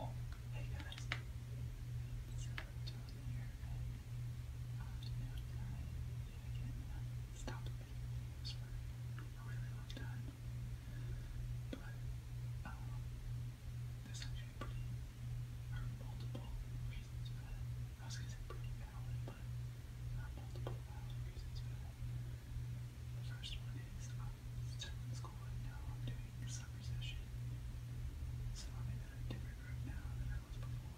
Oh, hey guys. It's Dylan here, and afternoon time, and for a really long time. But um, there's pretty there multiple reasons I was gonna say pretty valid, but there multiple valid reasons The first one is I'm now. I'm doing summer session, so I'm in a different now than I was before.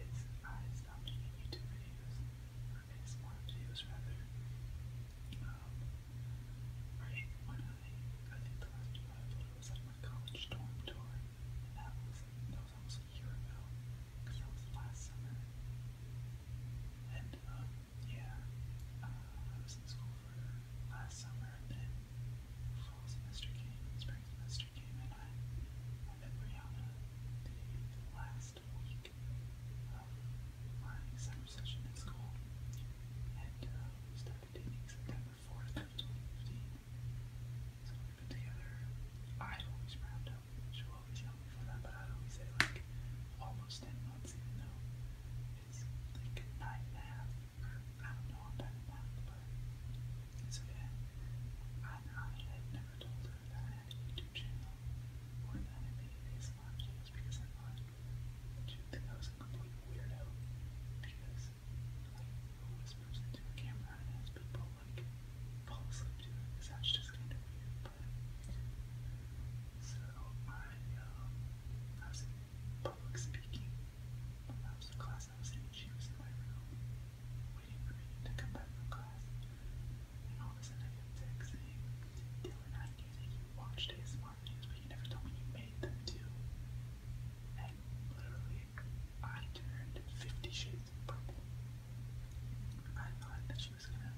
is I stopped making YouTube videos, or ASMR videos rather. Um, right when I, I think the last one I uploaded was like my college dorm tour, that was, that was almost a year ago, that was last summer. And, um, yeah, uh, I was in school for last summer, and then fall semester came, spring semester came, and I and Rihanna last week my summer session at school. And uh, September 4th 2015. So we've been together. I always round up. she always yell me for that, but I'd always say like almost 10 months, even it's like nine and a half, I don't know, I'm bad but it's okay. I, I had never told her that I had a YouTube channel or that I made ASMR videos because I thought she I was a complete weirdo because, like, who whispers into a camera and has people, like, fall asleep to it because that's just kind of weird, So, I, um, I was in public speaking. That was the class I was in. She was in my room to come back from class. And all of a sudden I get text saying, Dylan, I knew that you but you never told me you made them too. And literally, I turned 50 shades of purple. I thought that she was gonna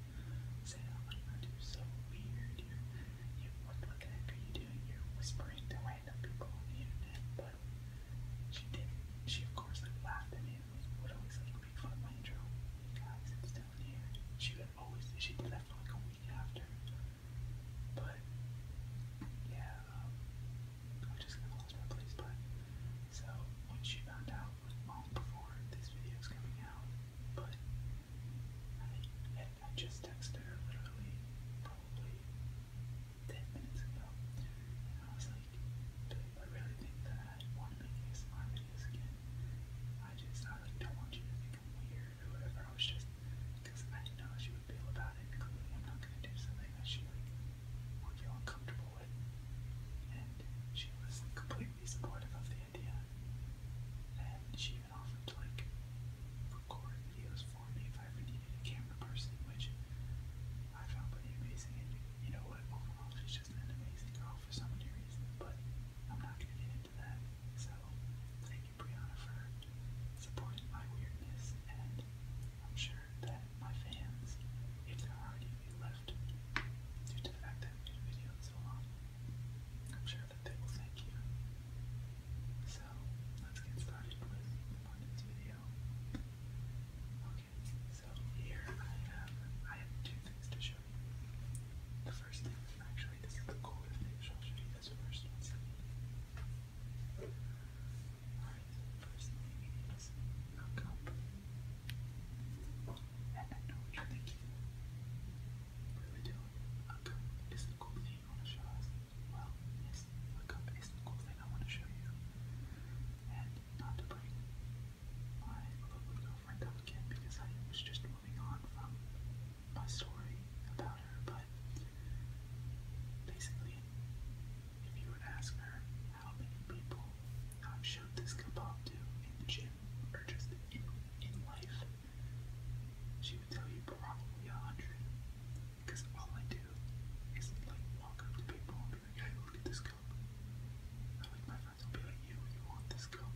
say, oh my god, you so weird, you you, what, the heck are you doing? You're whispering to random people on the internet, she did. She of course like laughed at me and was, would always like make fun of my intro. Guys, it's down here. She always. She did that like a week after. But yeah, um, I just lost my place. But so when she found out, long before this video is coming out, but I, just texted her literally ten minutes ago, and I was like, babe, I really think that I want to make ASMR videos again. I just, I like don't want you to think I'm weird or whatever. I was just, because I didn't know how she would feel about it. Clearly, I'm not gonna do something that she like would feel uncomfortable with, and she was completely supportive of the idea. And she even offered to like record videos for me if I needed a camera person, which I found pretty amazing. And you know what? Overall, she's just an amazing girl for so many reasons, but I'm not going to get into that. So, thank you, Brianna, for supporting my weirdness, and I'm sure that my fans, if there are any left due to the fact that I made a so long, I'm sure that they will thank you. So, let's get started with the video do. Okay, so here I have I have two things to show you. The first thing, actually, this is the cooler thing. So I'll show you this first. All right, first thing is a cup, and I know you're thinking. Really do a cup is the cool thing you want to show us well, this hookup is the cool I want to show you. And not to bring my lovely girlfriend again because I was just moving on from my story about her, but basically, if you were ask her how many people I've showed this kebab to in the gym or just in, in life, she would tell you probably a hundred. Because all I do is like walk up to people and be like, hey, look at this cup. I like my friends will be like, you, you want this cup.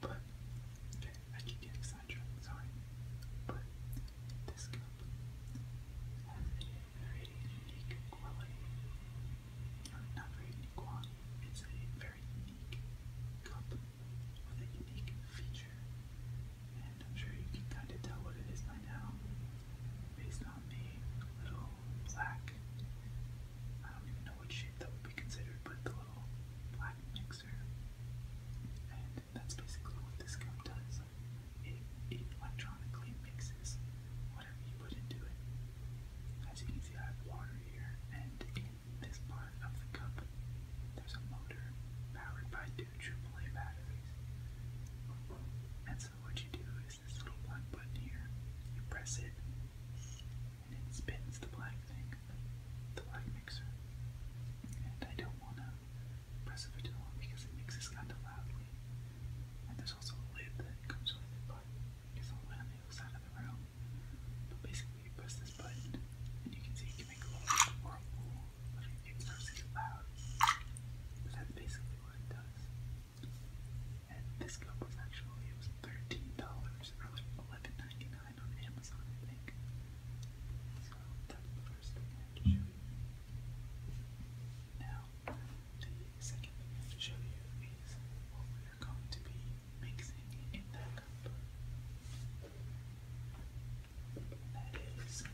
But, I keep getting sidetracked, sorry. But, this cup has very unique quality. Or not very unique it's a very unique cup with a unique feature and I'm sure you can kind of tell what it is by now, based on the little black. I don't even know what that would be considered, but the little black mixer. And that's basically what this cup does. It, electronically mixes whatever you put into it. As you can see, I have water here, and in this part of the cup, there's a motor powered by two the AAA batteries. And so what you do is this little black button here. You press it, and it spins the black thing, the black mixer. And I don't want to press it for too long because it mixes kind of loudly. And there's also a lid that comes with it, but it's all on the other side of the room. But basically, you press this button, and you can see you make a little whirlpool but that's basically what it does. And this cup was actually, it was $13 or like $11.99 on Amazon, I think. So that's the first thing I have to show you. Now, the second thing I have to show you is what we are going to be mixing in that cup that is this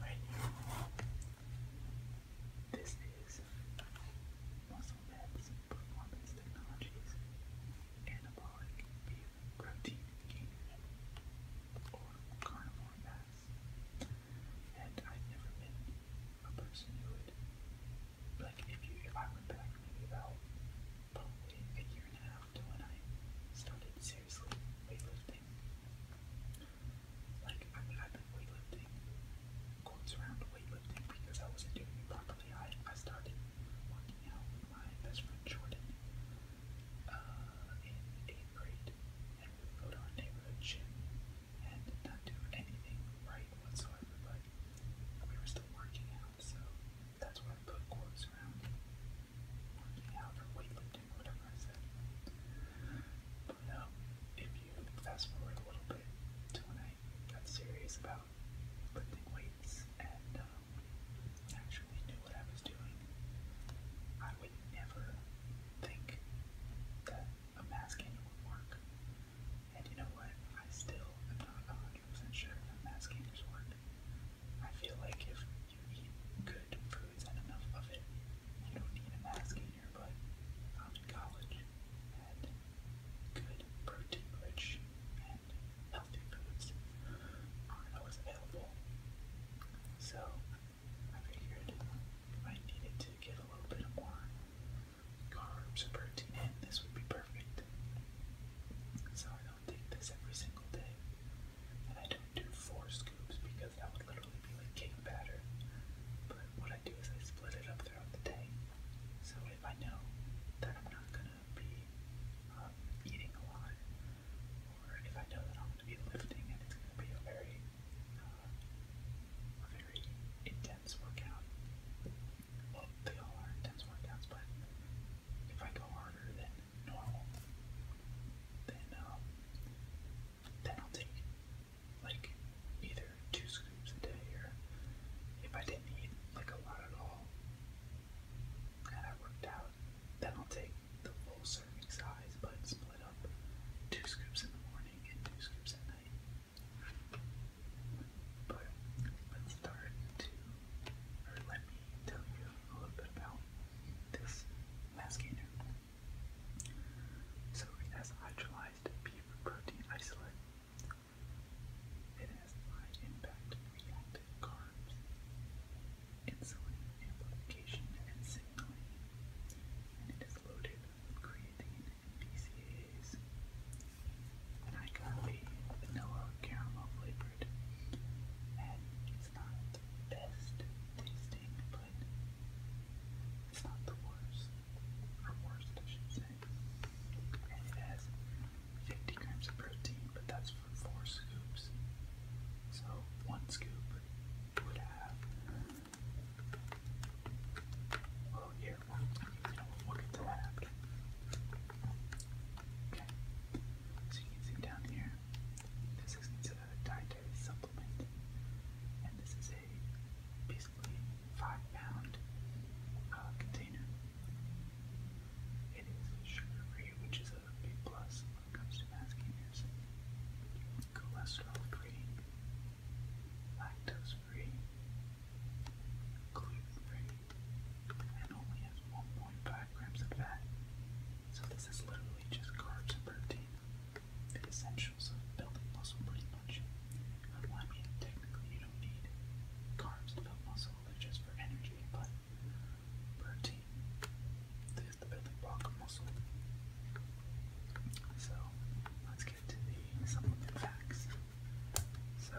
right here. This is MuscleMed's Performance Technologies Anabolic Beef Protein Gainer or Carnivore Mass. And i never been a person who would like if you if I went back maybe about probably a year and when I started seriously weightlifting. Like, I have been weightlifting, quotes around weightlifting, because I wasn't doing it properly. I, I started working out with my best friend Jordan uh, in 8th grade, and we go to our neighborhood gym and not do anything right whatsoever, but we were still working out, so that's why I put quartz around working out or weightlifting, whatever I said. But um, if you fast forward a little bit to when I got serious about lifting weights and um, actually knew what I was doing, I would never think that a mass would work. And you know what? I still am not 100 wasn't sure if mass gainers work. I feel like if you eat good foods and enough of it, you don't need a mass gainer, but I'm in college and good protein rich and healthy foods are always available. So I figured I needed to get a little bit more carbs or protein this would be perfect. So I take this every single day. And I don't do four scoops because that would literally be like cake batter. But what I do is I split it up throughout the day. So if I know that I'm not gonna be um, eating a lot, or if I know that I'm gonna be lifting and it's gonna be a very, uh, a very intense workout. Well, they all are intense workouts, but if I go harder than normal, um, then I'll take like either two scoops a day or if I didn't eat like a lot at all and I worked out, then I'll take the full serving size but split up two scoops in the morning and two scoops at night. But let's start to, or let me tell you a little bit about this mascander. So it has hydrolyzed beef protein isolate. It has high impact reactive carbs, insulin amplification and signaling, and it is loaded with creatine BCAAs. I got the vanilla caramel flavored, it's not the best tasting, but it's not the worst, or worst I should and it has 50 grams of protein, but that's for four scoops, so one scoop would have, well, yeah, oh, we you so you can see down here, this is a dietary supplement, and this is a basically five pound container. It is sugar free, which is a big plus when it comes to mass gainers. Cholesterol free, lactose free, gluten free, and only has 1.5 grams of fat. So this is literally just carbs and protein, the essentials of building muscle pretty much. I mean, technically you don't need carbs to build muscle, just for energy, but protein is the building block of muscle. So let's get to the supplement facts. So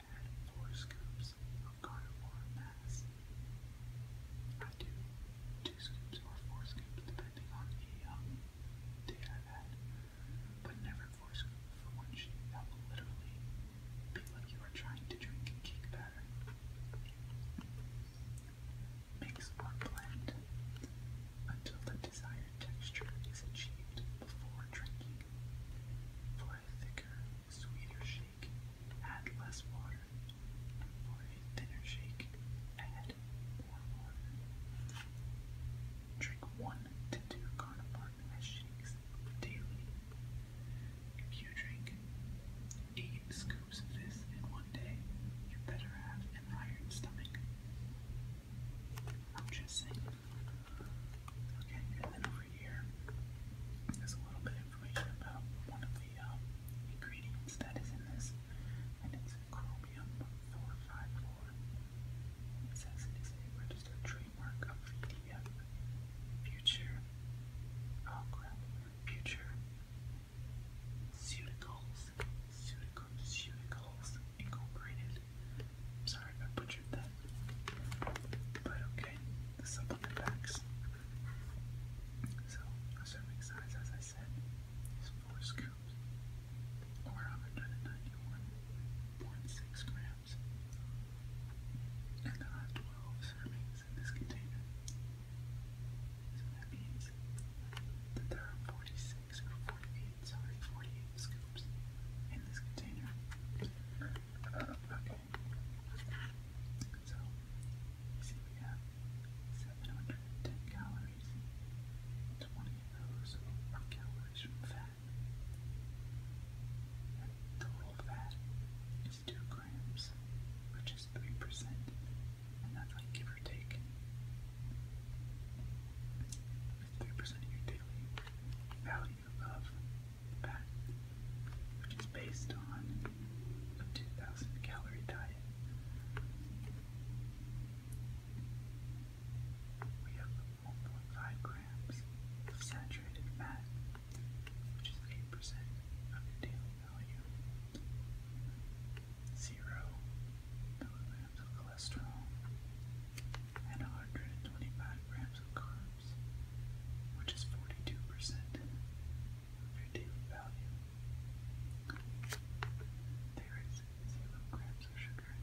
and horoscopes of carnivore mass. I do two scoops or four scoops depending on the um, day I've had, but never four scoops for one sheep. That will literally be like you are trying to drink cake batter. Mix or blend until the desired texture is achieved before drinking. For a thicker, sweeter shake, add less water. For a thinner shake, add more water. Drink one to two Carnapart as shakes daily. If you drink eight scoops of this in one day, you better have an iron stomach. I'm just saying. Okay, and here is a little bit information about one of the um, ingredients that is in this, and it's chromium 454. It says it is a registered trademark of VDF uh, Future. Oh Future Ceuticals, Ceuticals, Ceuticals Incorporated. sorry if I butchered that, but okay the supplement packs. So, serving size, as I said, is 4 scoops, or 191.6 grams. And there are 12 servings in this container. So that means that there are 46 48, sorry, 48 scoops in this container. Uh, so, you see we have 710 calories. 20 of those are calories from fat. And total fat is 2 grams, which is 3%. And that's like give or take. It's 3% of your daily value. Your Love Pack, which is based on a 2,000 calorie diet. We have 1.5 grams of saturated fat, which is 8% of your daily value. Zero milligrams of cholesterol and 125 grams of carbs which is 42% of your daily value. There is 0 grams of sugar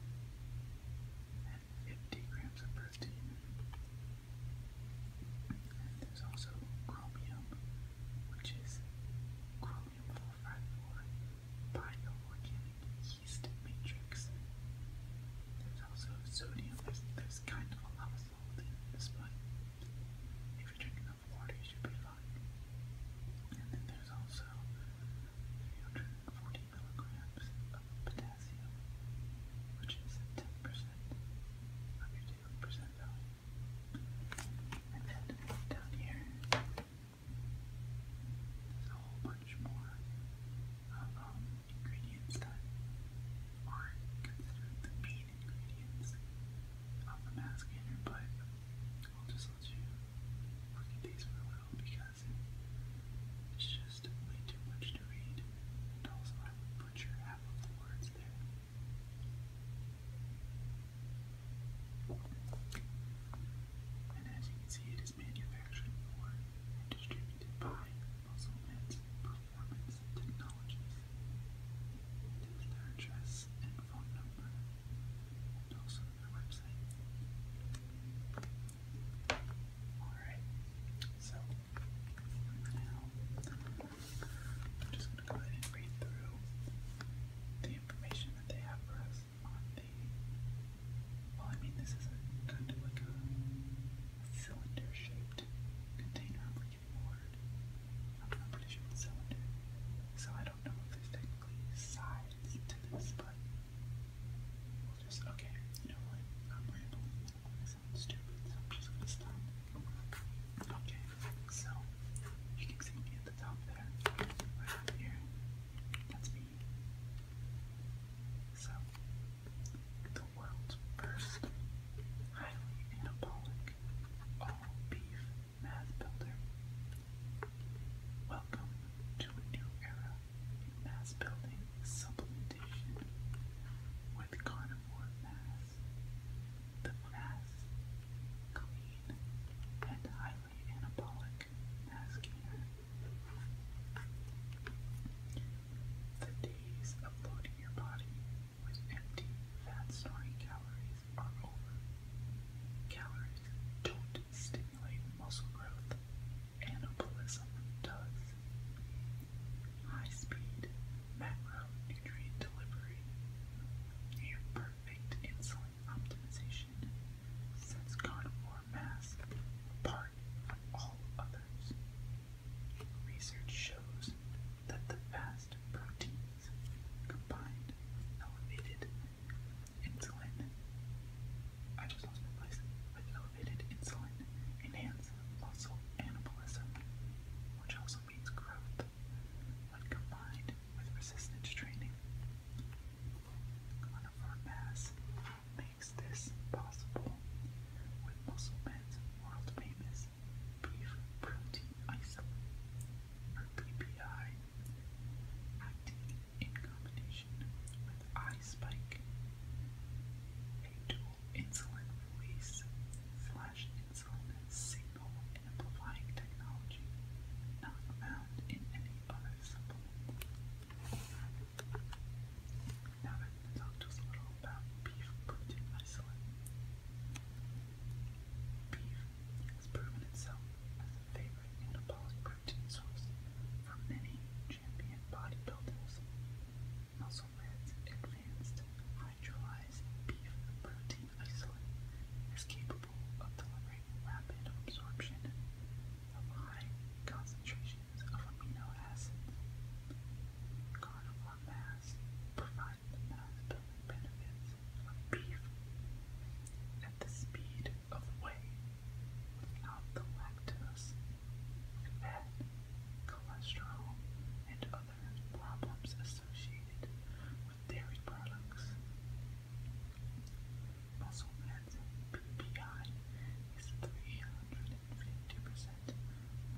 and 50 grams of protein. there's also chromium, which is chromium 454 bioorganic yeast matrix. There's also sodium, is kind of a lava salt in this but if you drink enough water you should be fine. And then there's also 340 milligrams of potassium, which is 10% of your daily percent value. And then down here, there's a whole bunch more of um, ingredients that are considered the main ingredients of the mascator, but I'll just let you look at these for a little because it's just way too much to read, and also I would butcher half of the words there. And as you can see, it is manufactured for and distributed by Muslims Performance Technologies, their address and phone number, also their website. Alright, so now I'm just going to go ahead and read through the information that they have for us Well, I mean, this is a kind of like a cylinder-shaped container, I'm pretty sure it's cylinder. So I don't know if there's technically sides to this, but we'll just, okay, you know what, I'm rambling, stupid, so I'm just gonna stop. Okay, so, you can see me at the top there, right up here, that's me. So, world's first highly anabolic all beef math builder. Welcome to a new era in mass building supplementation with carnivore mass. The fast, clean, and highly anabolic mass gainer the days of loading your body with empty, fat-storing calories are over. Calories don't stimulate muscle growth. Anabolism does. High-speed macronutrient delivery. Near perfect insulin optimization. Since carnivore mass, part all others. Research shows that the fast proteins combined with elevated insulin. I just lost my place. With elevated insulin, enhance muscle anabolism, which also means growth, when combined with resistance training. On a farm mass, makes this possible with Musselman's world famous brief protein isolate, or PPI, acting in combination with iSpike, a dual insulin release slash insulin signal amplifying technology not found in any other supplement. Now we're going just a little about beef protein isolate. Beef has proven itself as a favorite anabolic protein source for many champion bodybuilders. and advanced hydrolyzed beef protein isolate is capable of delivering rapid absorption high concentrations of amino acids. Carnivore mass provides mass-building benefits beef at the speed of whey without the lactose, fat, cholesterol, and other problems associated with dairy products. Muscle mass PPI is 350%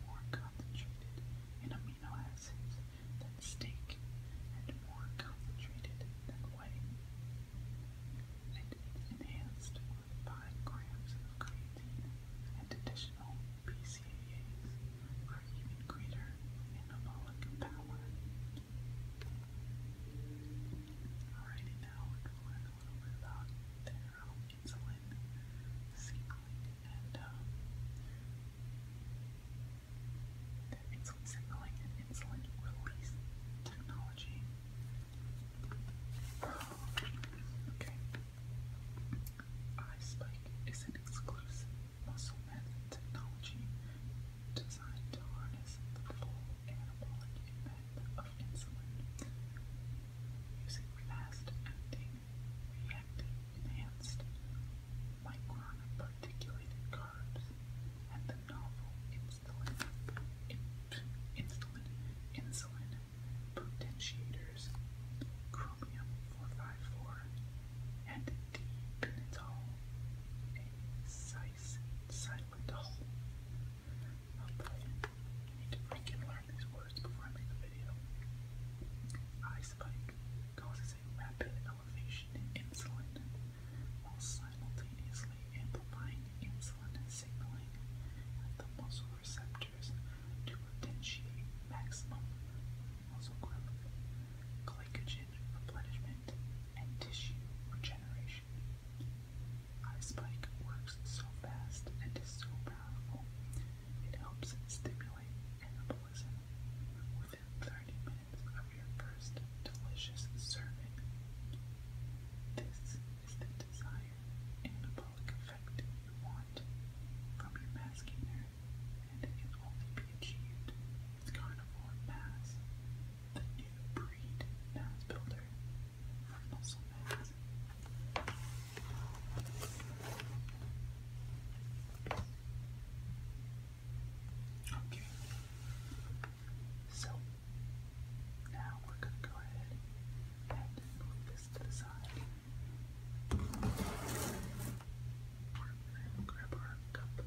more concentrated in amino acids than steak and more concentrated than whey. And enhanced with grams of creatine and additional BCAAs for even greater anabolic power. Alrighty now, insulin signaling and insulin release technology. Okay. iSpike is an exclusive muscle method technology designed to harness the full anabolic of insulin using fast-acting, reactive, enhanced, micron-particulated carbs and the novel insulin, insulin, insulin potentiators, chromium-454 and D-pinitol, a silentol. I'll tell to think and learn these words before I make a video. causes a rapid elevation in insulin while simultaneously amplifying insulin signaling at the muscle receptors to potentiate maximum muscle growth, glycogen replenishment, and tissue regeneration. Ice Spike works so fast and is so powerful. It helps stimulate anabolism within 30 minutes of your first delicious serving. This is the desired anabolic effect you want from your mass gainer, and it can only be achieved with carnivore mass, the new breed mass builder. Not so Okay. So now we're going to go ahead and move this to the side. grab our cup.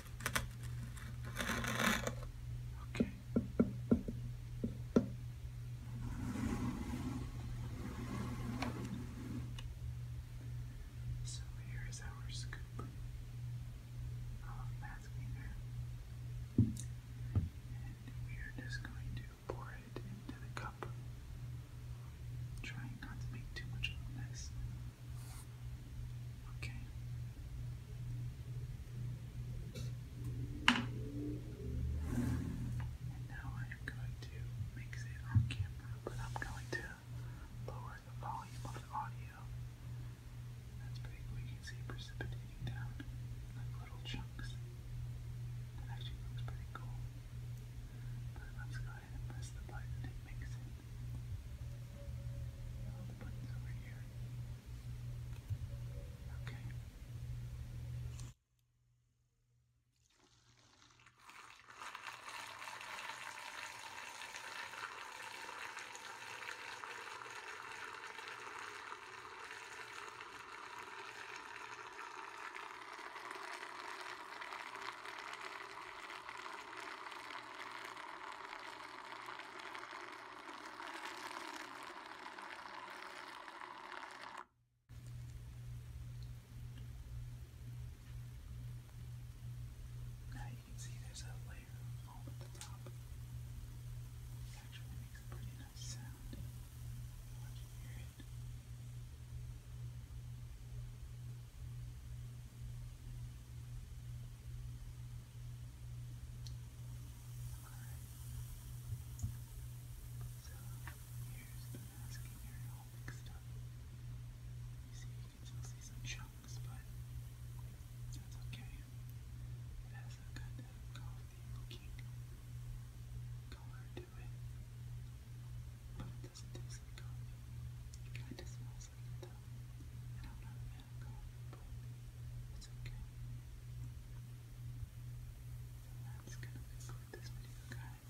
Okay. So here is our scoop of math And we are just going to pour it into the cup. Trying not to make too much mess. Okay. now I am going to mix it on but I'm going to lower the volume of the audio. That's You can see precipitating down like little chunks. actually looks pretty cool. let's go side and press the button, it makes it. All the buttons over here. Okay. Okay. Now you can see there's a layer of foam at the top. It actually makes a pretty nice sound. Watch you hear it. So here's the mask and You see, you can still see some chunks, but that's okay. It a kind of coffee looking color to it, it kinda smells like it I'm not a fan it's okay. that's gonna conclude this video guys.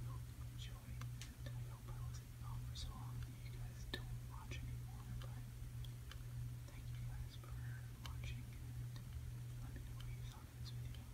I hope you enjoyed and I hope I wasn't off for so long that you guys don't watch anymore, but thank you guys for watching and let me know what this video.